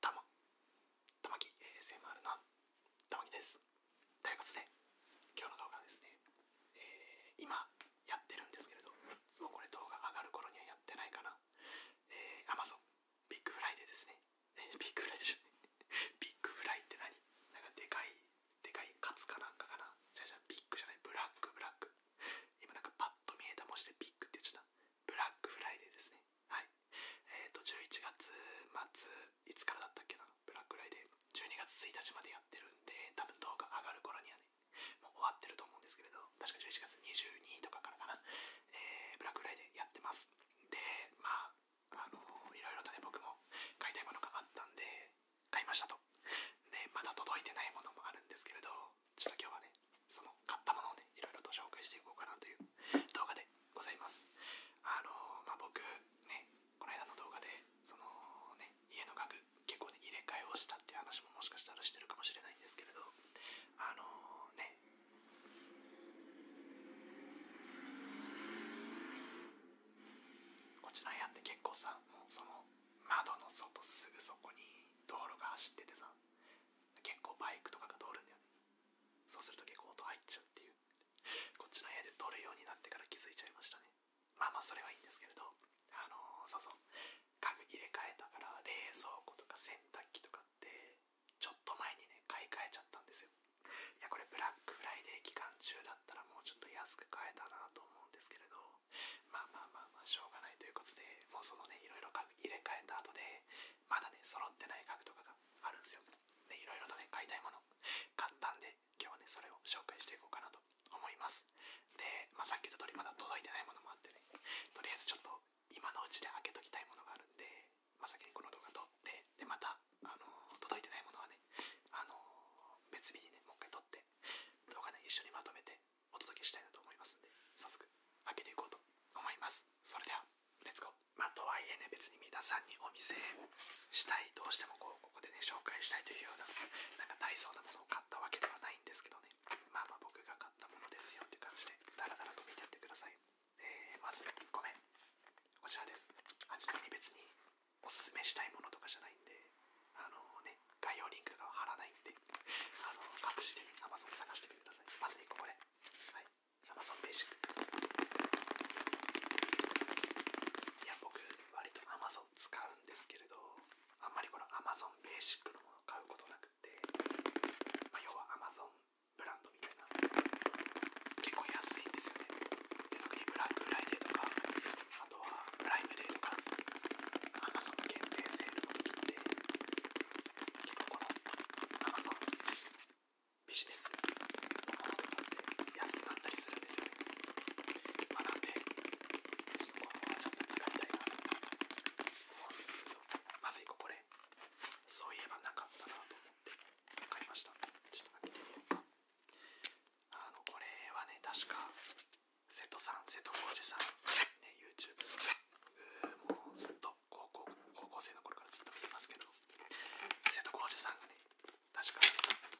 たま、たまき ASMR のたまきです。ということで、今日の動画はですね、えー、今やってるんですけれど、もうこれ動画上がる頃にはやってないかな。えー、Amazon、ビッグフライデーですね、えー、ビッグフライでしょ。ビッグフライって何なんかでかい、でかいカツかなんかかな。じゃじゃビッグじゃない、ブラック、ブラック。今なんかパッと見えた文字でビッグって言っちゃった。ブラックフライデーですね。はいえっ、と11月末いつからだったっけなブラックライデー12月1日までやってるんで多分動画上がる頃にはねもう終わってると思うんですけれど確か11月22とかからかな、えー、ブラックライデーやってますでまああのいろいろとね僕も買いたいものがあったんで買いましたとでまだ届いてないものもあるんですけれどちょっと今日はね、その買ったものをね、いろいろと紹介していこうかなという動画でございます。あのまあ、僕、ね、この間の動画で、そのね、家の家具、結構ね、入れ替えをしたっていう話ももしかしたらしてるかもしれないんですけれど、あのね、こちらやって結構さ、もうその窓の外すぐそこに道路が走っててさ、結構バイクとかが通るんだよねそうすると結構音入っちゃうっていうこっちの部屋で撮るようになってから気づいちゃいましたねまあまあそれはいいんですけれどあのそうそう家具入れ替えたから冷蔵庫とか洗濯機とかってちょっと前にね買い替えちゃったんですよいやこれブラックフライデー期間中だったらもうちょっと安く買えたなと思うんですけれどまあまあまあまあしょうがないということでもうそのねいろいろ家具入れ替えた後でまだね、揃ってない家具とかがあるんすよ。で、いろいろとね、買いたいもの買ったんで、今日はね、それを紹介していこうかなと思います。で、まさっき言っりまだ届いてないものもあってね、とりあえずちょっと今のうちで開けときたいものがあるんで、まあ、先にこの動画撮って、で、また、あの届いてないものはね、あの別日にね、もう一回撮って、動画ね、一緒にまとめてお届けしたいなと思いますんで、早速開けていこうと思います。それでは、レッツゴー。まあ、とはいえね、別に皆さんにお見せしたい、どうしてもこうここでね、紹介したいというような、なんか大層なものを買ったわけではないんですけどね、まあまあ僕が買ったものですよっていう感じで、ダラダラと見てってください。えー、まずごめん。こちらです。あちなみ別におすすめしたいものとかじゃないんで、あのね、概要リンクとかは貼らないんで、あの隠しで Amazon 探してみてください。まず1個これ。はい。Amazon ベーシック。いや、僕、割と Amazon 使うんですけれど、あんまりこの Amazon ベーシックのものを買うことなくて、ま要は Amazon ブランドみたいな。結構安いんですよね。特にブラックフライデーとか、あとはプライムデーとか、Amazon 限定セールもできて、結構この長さビジネスのもの安くなったりするんですよね。まなんで、ちょっとこのままちょ使いたいなと思うんですけど、まず1個これ、そういえばなかったなと思って、買いました。ちょっと開てみようか。あの、これはね、確か、瀬戸さん、瀬戸浩二さん、ね、YouTube のもうずっと高校高校生の頃からずっと見てますけど瀬戸康史さんがね確か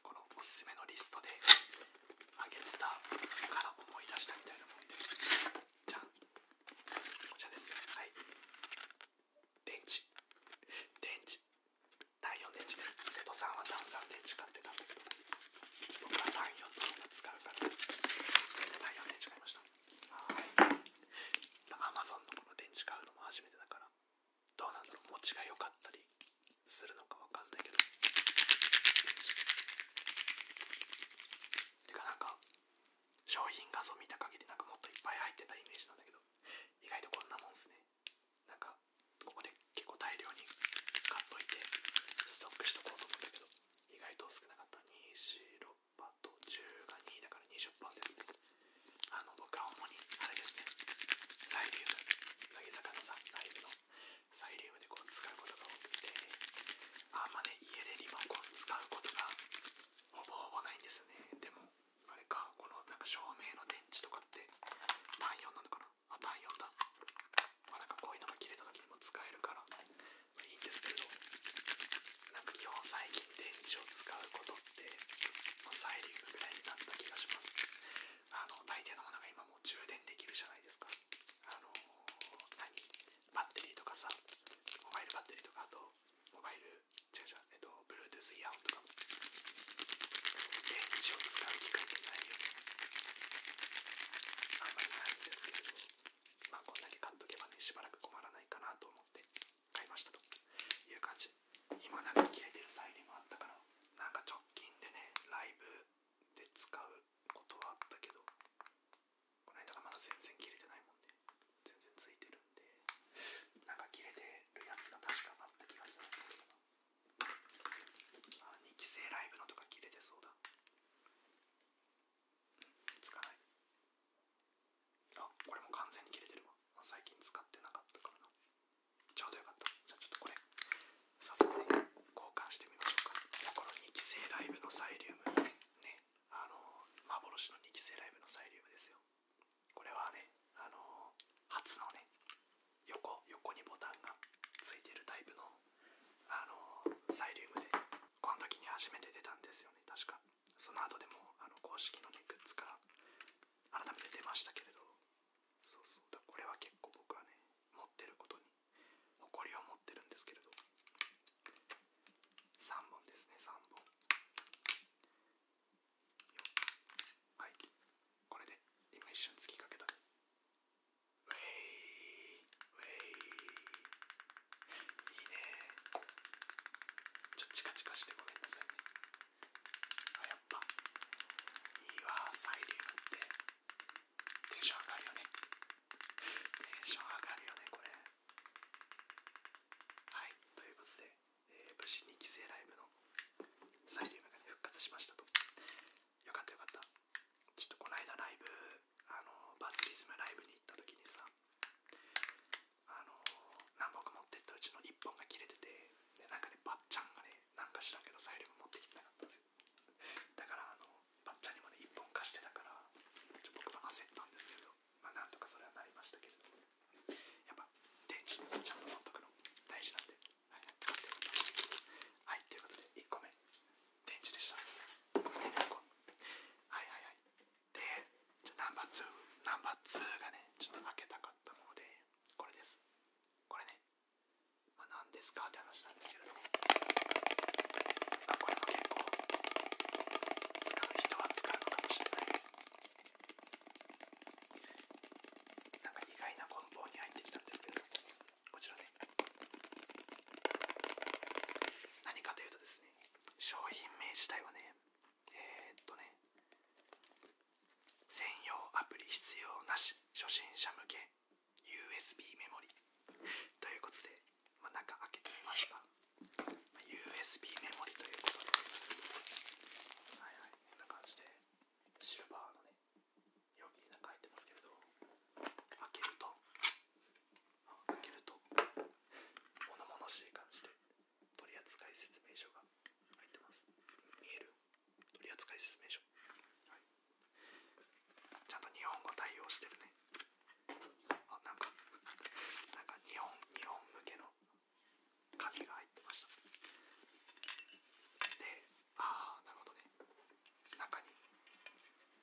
このおすすめのリストであげてたから思い出したみたいなもんでじゃあこちらですねはい電池電池第4電池です瀬戸さんは炭酸電池買ってたんだけど僕は第4の方が使うからそれで第4電池買いましたはいアマゾンのこの電池買うのも初めてだからどうなんだろう持ちが良かったりするのかわかんないけどてかなんか商品画像見た限りなんかもっといっぱい入ってたイメージなんだけど意外とこんなもんですねなんかここで結構大量に買っといてストックしとこうと思ったけど意外と少なかった。2、4、6と10が2だから20ですあの、僕は主に、あれですね、サイリウム、乃木坂のさ、ライブのサイリウムでこう使うことが多くて、あんまね、家でリモコン使うことがほぼほぼないんですね。でも、あれか、このなんか照明の電池とかって、単4なのかなあ、単4だ。まなんかこういうのが切れた時にも使えるから、いいんですけれどなんか基本最近電池を使うことってもうサイリングぐらいになった気がしますあの大抵のものが今もう充電できるじゃないですかあの何バッテリーとかさモバイルバッテリーとかあとモバイル違う違うえっと Bluetooth イヤホンとかも電池を使う機会ってないよねあんまりないんですけれどまあこんだけ買っとけばねしばらく困らないかなと思って買いましたという感じ今なんか切れてるサイレンもあったからなんか直近でねライブで使うことはあったけどこの間がまだ全然切れてないもんね全然ついてるんでなんか切れてるやつが確かあった気がするんだけどあ2期生ライブのとか切れてそうだつかないあこれも完全に切れてるわ最近使ってなかったからなちょうどよかったじゃあちょっとこれ早速ね。交換してみましょうかこの2期生ライブのサイリウムねあの幻の2期生ライブのサイリウムですよこれはねあの初のね横横にボタンがついてるタイプのあのサイリウムでこの時に初めて出たんですよね、確か。その後でもあの公式のね、グッズから改めて出ましたけれど、そうそうだ、これは結構僕はね、持ってることに誇りを持ってるんですけれど、3本ですね、3本。はい、これで今一瞬突きかけた。ウェイウェイいいねちょっとチカチカしてごめんなさいねあやっぱいいわサイリウムってテンション上がるよねテンション上がるよねこれはいということで、えー、武士2期生ライブのサイリウムがね復活しましたとよかったよかったちょっとこないだ。ライブあのバズリスムライブに行った時にさあの何本か持ってったうちの1本が切れててでなんかねばっちゃんがねなんか知らんけどサイレンも持ってきてなかったんですよだからあのばっちゃんにもね1本貸してたからちょ僕も焦ったんですけどまあなんとかそれはなりましたけれどもやっぱ電池にちゃんと持っとくの大事なんではい、はい、ということで1個目電池でした。はいはいはい。で、じゃナンバー2、ナンバー2がね、ちょっと開けたかったもので、これです。これね、まあ、何ですかって話なんですけどあこれも結構、使う人は使うのかもしれない。なんか意外な梱包に入ってきたんですけどこちらね何かというとですね商品名自体はねえっとね専用アプリ必要なし初心者向け USB メモリということで、まあ、中開けてみますか USB メモリということではいはいこんな感じでシルバーのね容器に中入ってますけど開けると開けると物々しい感じで取扱説明書が入ってます見える取扱説明書、ちゃんと日本語対応してるねあなんかなんか日本日本向けの紙が入ってましたでああなるほどね中に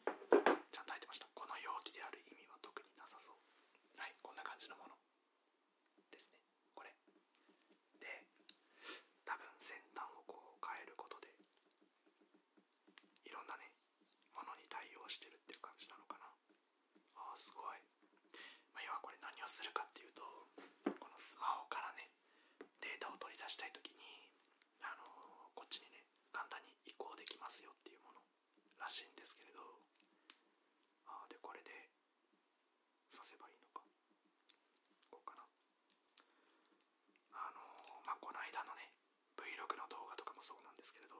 ちゃんと入ってましたこの容器である意味は特になさそうはいこんな感じのものですねこれで多分先端をこう変えることでいろんなねものに対応してるっていう感じなのかなあーすごい、ま要はこれ何をするかっていうとこのスマホからねデータを取り出したい時にあのこっちにね簡単に移行できますよっていうものらしいんですけれどああでこれで刺せばいいのかこうかなあのまこの間のね Vlog の動画とかもそうなんですけれど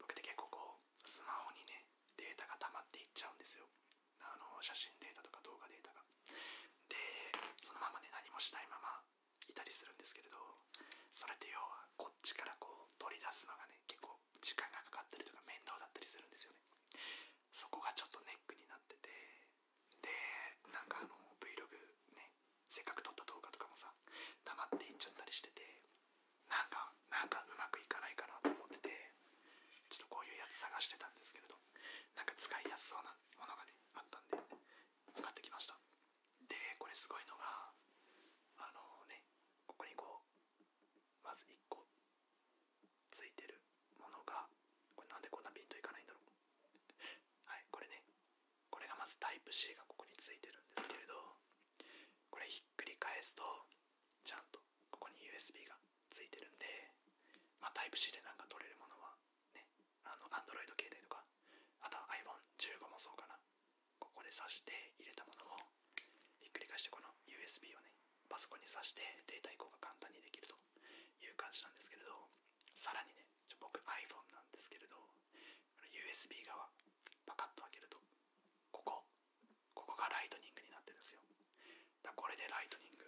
僕って結構こうスマホにねデータが溜まっていっちゃうんですよあの写真データとか動画データがでそのままね何もしないままいたりするんですけれどそれって要はこっちからこう取り出すのがね結構時間がかかったりとか面倒だったりするんですよねそこがちょっとネックになっててでなんかあの Vlog ねせっかく撮った動画とかもさ溜まっていっちゃったりしててなんかなんかうまくいかないかなと思っててちょっとこういうやつ探してたんですけれどなんか使いやすそうなものがねあったんで買ってきましたでこれすごいのがあのねここにこうまず1個ついてるものがこれなんでこんなピンといかないんだろうはいこれねこれがまずタイプ C がここについてるんですけれどこれひっくり返すとちゃんとここに USB がついてるんでまあタイプ C でなんか取れるものはねあの a n d r o i 携帯とかあとは iPhone15 もそうかなここで挿して入れたものをひっくり返してこの USB をねパソコンに挿してデータ移行が簡単にできるという感じなんですけれどさらにね僕 iPhone なんですけれど USB 側パカッと開けるとここここがライトニングになってるんですよだこれでライトニング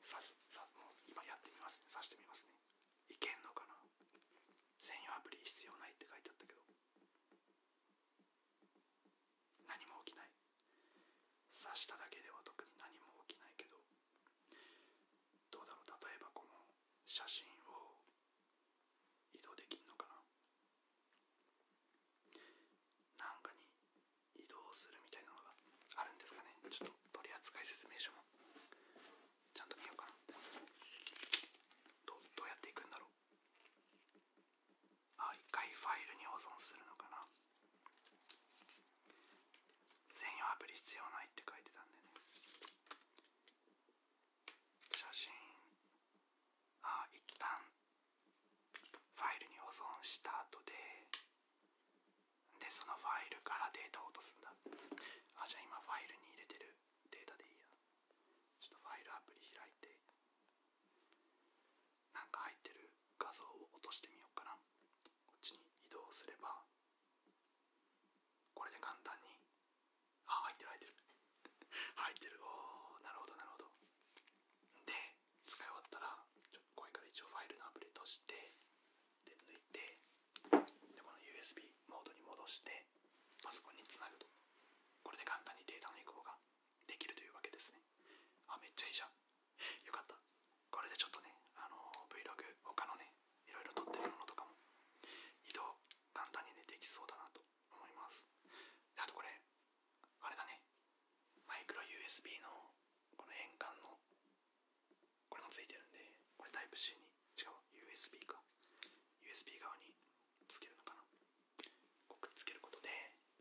さすさもう今やってみますね挿してみますねいけんのかな専用アプリ必要ないって書いてあったけど何も起きない刺しただけでは特に何も起きないけどどうだろう例えばこの写真を移動できんのかななんかに移動するみたいなのがあるんですかねちょっと取扱説明書もちゃんと見ようかなどどうやっていくんだろうあ一回ファイルに保存するのかな専用アプリ必要ないって書いてたんでね写真あ一旦ファイルに保存した後でで、そのファイルからデータを落とすんだ。あ、じゃあ今ファイルに入れてるデータでいいや。ちょっとファイルアプリ開いて、なんか入ってる画像を落としてみようかな。こっちに移動すれば、これで簡単に、あ、入ってる入ってる。入ってる。おー、なるほどなるほど。で、使い終わったら、ちょっこれから一応ファイルのアプリとして、で抜いてでこの USB モードに戻してパソコンにつなぐとこれで簡単にデータの移行ができるというわけですねあめっちゃいいじゃんよかったこれでちょっとねあの Vlog 他のねいろいろ撮ってるものとかも移動簡単にねできそうだなと思いますであとこれあれだねマイクロ USB のこの円環のこれもついてるんで、これタイプ c に、違う、USB か。USB 側につけるのかな。こくっつけることで、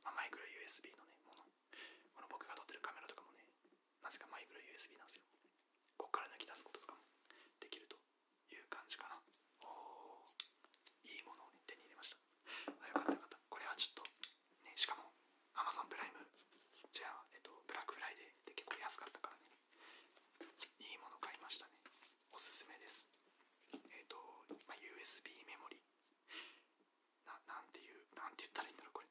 まマイクロ USB のね、もの。この僕が撮ってるカメラとかもね、なぜかマイクロ USB なんですよ。ここから抜き出すこととかもできるという感じかな。おー、いいものを、ね、手に入れました。あよかったよかった。これはちょっと、ね、しかもアマゾンプライムじゃあ、えっと、ブラックフライデーって結構安かったからねいいもの買いましたねおすすめですえっと、まあ、USB メモリななんていうなんて言ったらいいんだろうこれ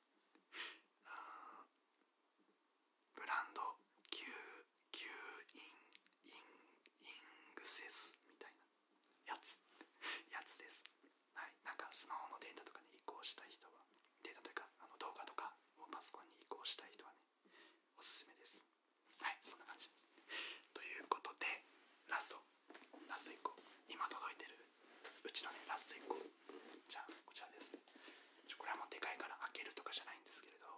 ブランド Q, Q インインイングセスみたいなやつやつですはいなんかスマホのデータとかに移行したい人はデーというかあの動画とかをパソコンに移行したい人はねおすすめですはいそんな感じですということでラストラスト1個今届いてるうちのねラスト1個じゃあこちらですちょこれはもうでかいから開けるとかじゃないんですけれど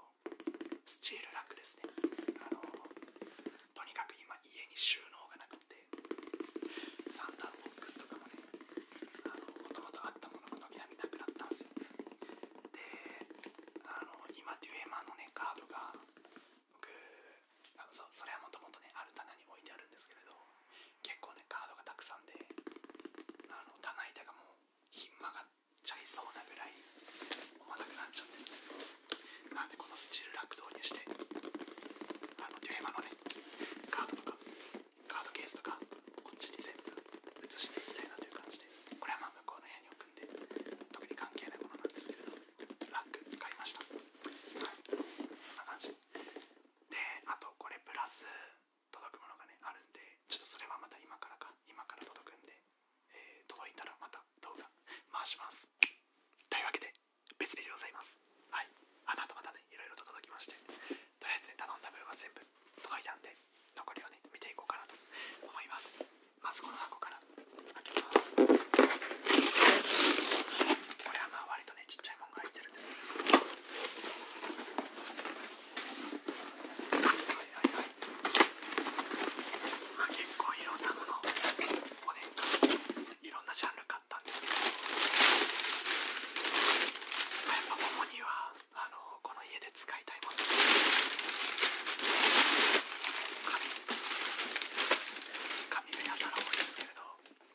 スチールラックですねあのとにかく今家に収納がなくてサンダーボックスとかもねあのもともとあったものが軒並みなくなったんですよであの今デュエマのねカードが僕あのそそれはもともとねある棚に置いてあるんですけれど結構ねカードがたくさんであの棚板がもうひん曲がっちゃいそうなぐらい重たくなっちゃってるんですよなんでこのスチールラック導にしてあのデュエマのねカードとかカードケースとかこっちに全部移していきたいなという感じでこれはまあ向こうの部屋に置くんで特に関係ないものなんですけれどラック買いましたはいそんな感じであとこれプラス届くものがねあるんでちょっとそれはまた今からか今から届くんで、え届いたらまた動画回しますというわけで別日でございますはいあの後またねいろいろと届きましてとりあえず頼んだ分は全部届いたんで、残りをね、見ていこうかなと思います。まずこの箱から開けます。これはまあ割とね、ちっちゃいものが入ってるんです結構いろんなものをね、いろんなジャンルまやっぱももにはあのこの家で使いたいもの紙紙だったら多いですけれど、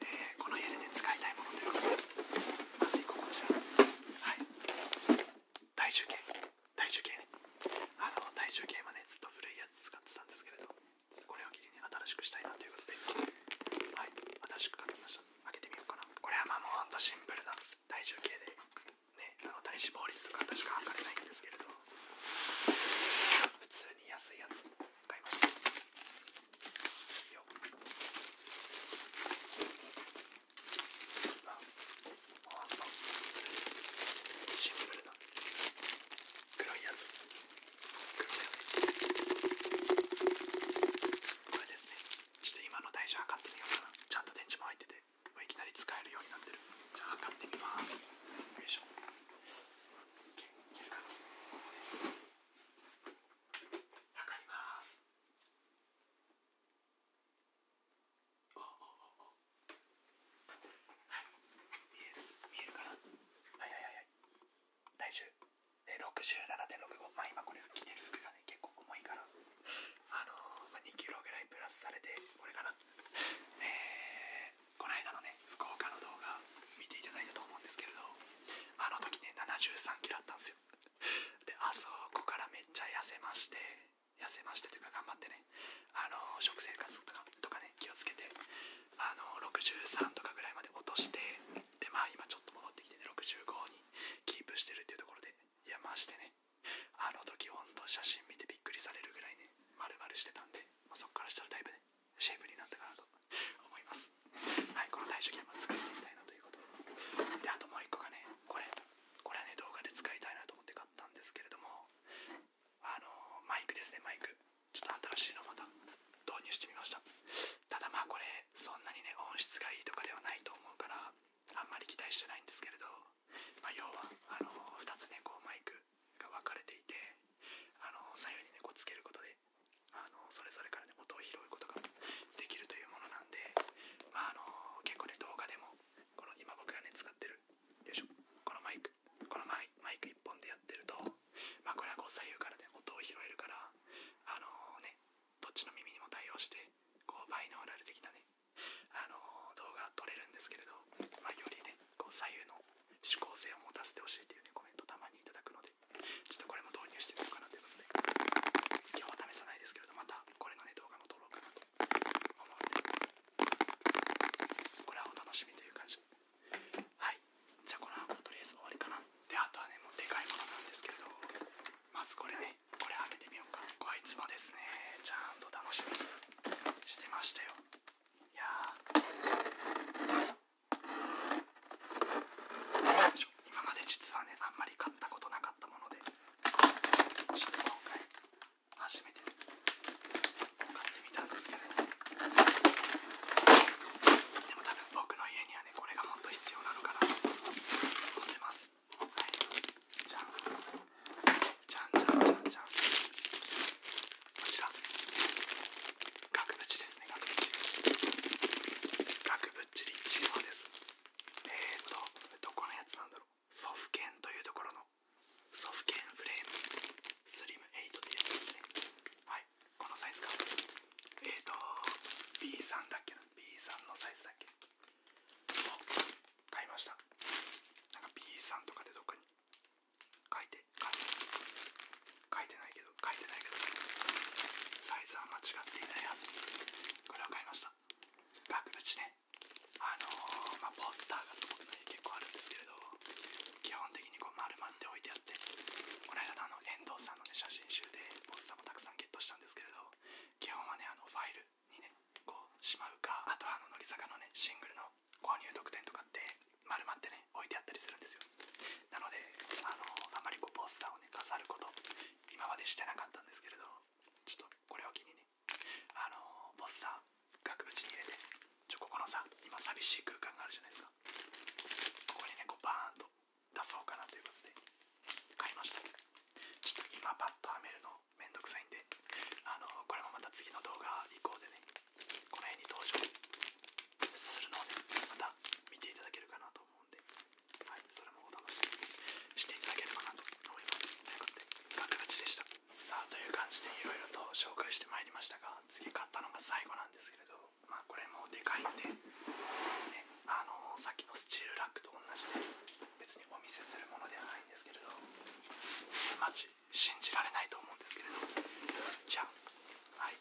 えー、この家で、使いたいものということでまずい、ここじゃ。はい体重計体重計ねあの体重計はねずっと古いやつ使ってたんですけれどこれをきりに新しくしたいなということではい新しく買ってきました開けてみようかなこれはまあもうほんとシンプルな体重計でねあの体脂肪率とか確か測れないんですけれど普通に安いやつ買いましたよあほんとシンプルな黒いやつ黒いやつこれですねちょっと今の台車測ってみようかなちゃんと電池も入ってていきなり使えるようになってるじゃあ測ってみますよいしょいかりますはい見える見えるかなはいはいはい体重で67.65ま今これ着てる服がね結構重いからあのま2 k g ぐらいプラスされてこれかなえー、この間のね福岡の動画見ていただいたと思うんですけれどあの時ね73キロあったんですよであそこからめっちゃ痩せまして痩せましてというか頑張ってねあの食生活とかとかね気をつけてあの63とかぐらいまで落としてでまあ今ちょっと戻ってきてね65にキープしてるっていうところでいやましてねあの時ほんと写真見てびっくりされるぐらいねまるまるしてたんで、まそっからしたらだいぶねシェイプになったかなと思いますはいこの体重計も使ってみたいなということであともう一個がねこれこれはね動画で使いたいなと思って買ったんですけれどもあのマイクですねマイクちょっと新しいのまた導入してみましたただまあこれそんなにね音質がいいとかではないと思うからあんまり期待してないんですけれど、まあ、要はあの2つねこうマイクが分かれていてあの左右にねこうつけることであのそれぞれからね音を拾うことができるというものなんでまああの結構ね動画でもこの今僕がね使ってるよいしょこのマイクこのマイマイク1本でやってるとまあこれはこう左右からね音を拾えるからあのね、どっちの耳にも対応して、こうバイノーラル的なね、あの動画撮れるんですけれど、まよりね、こう左右の指向性を持たせてほしいというね、コメントたまにいただくので、ちょっとこれも導入していこうかなということで、今日は試さないですけれど、またこれのね、動画も撮ろうかなと思って、これはお楽しみという感じ。はいじゃあこの箱とりあえず終わりかなであとはねもうでかいものなんですけどまずこれねこれ開けてみようかこいつもですねちゃんと楽しみにしてましたよいや今まで実はねあんまり買ったことなかったものでちょっと今回初めて買ってみたんですけど、でも多分僕の家にこれがもっと必要なのかなと思っますはいじゃんじゃんじゃんじゃんじゃんこちら額縁ですね額縁額縁リチーですえーとどこのやつなんだろうソフケンというところのソフケンフレームスリム8というやつですねはい。このサイズかえっと B3 だっけな B3 のサイズだっけを買いましたなんか B3 とかでどっかに書いて書いてないけど書いてないけどサイズは間違っていないはずこれを買いました額ちねあのまポスターがすごくない結構あるんですけれど基本的にこう丸まって置いてあってこの間の遠藤さんの、ね、写真集でポスターもたくさんゲットしたんですけれど基本はねあのファイルにねこうしまうかあとはあの乃木坂のねシングルの購入特典とかって丸まってね置いてあったりするんですよなのであのあまりこうポスターをね飾ること今までしてなかったんですけれどちょっとこれを機にねあのポスター額縁に入れてちょここのさ今寂しい空間があるじゃないですかここにねこうバーンと出そうかなということで買いましたちょっと今パッと編めるのめんどくさいんであのこれもまた次の動画以降でねこの辺に登場するので、また見ていただけるかなと思うんで、はい、それもお楽ししていただければなと思いますということでガクガチでしたさあという感じでいろいろと紹介してまいりましたが次買ったのが最後なんですけれどまあ、これもでかいんで、あのさっきのスチールラックと同じで別にお見せするものではないんですけれどマジ信じられないと思うんですけれどじゃあはい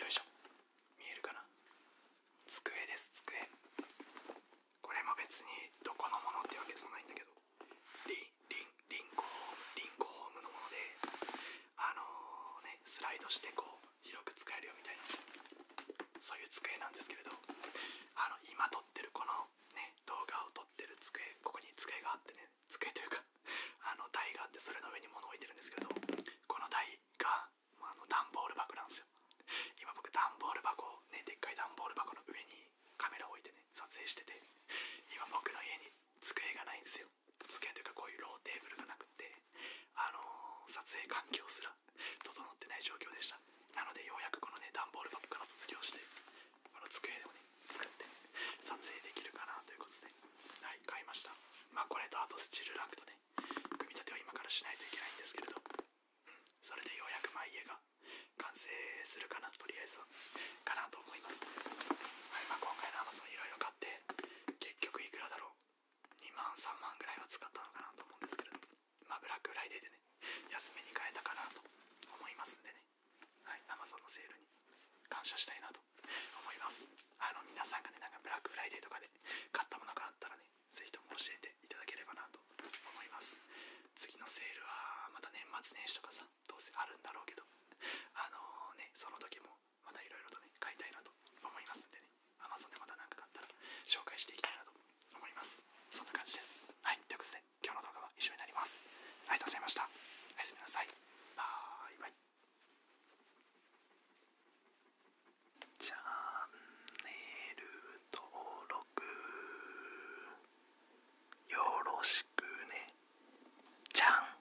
よいしょ見えるかな机です机これも別にどこのものってわけでもないんだけどリンリンリンゴホームリンゴホームのものであのねスライドしてこう広く使えるよみたいなそういう机なんですけれどあの今撮ってるこのね動画を撮ってる机ここに机があってね机というか あの台があってそれの上に物置いてるんですけどこの台があの段ボール箱なんですよ今僕段ボール箱ねでっかい段ボール箱の上にカメラを置いてね撮影してて今僕の家に机がないんですよ机というかこういうローテーブルがなくて、あの撮影環境すら整ってない状況でしたなのでようやくこのね段ボール箱から卒業してこの机をね作って撮影できるかなということではい買いましたまあこれとあとスチールランクとね組み立てを今からしないといけないんですけれど、うん、それでようやくま家が完成するかなとりあえずはかなと思います、はいまあ、今回の Amazon いろ買って結局いくらだろう2万3万ぐらいは使ったのかなと思うんですけどまあブラックフライデーでね安めに買えたかなと思いますんでねはい Amazon のセールに感謝したいなと思いますあの皆さんがねなんかブラックフライデーとかで買ったものがあったらねぜひとも教えていただければなと思います次のセールはまた年末年始とかさどうせあるんだろうけどあのねその時もまたいろいろとね、買いたいなと思いますんでね、a m a z でまた何か買ったら紹介していきたいなと思います。そんな感じです。はい、ということで、今日の動画は以上になります。ありがとうございました。おやすみなさい。バイバチャンネル登録よろしくね。じゃん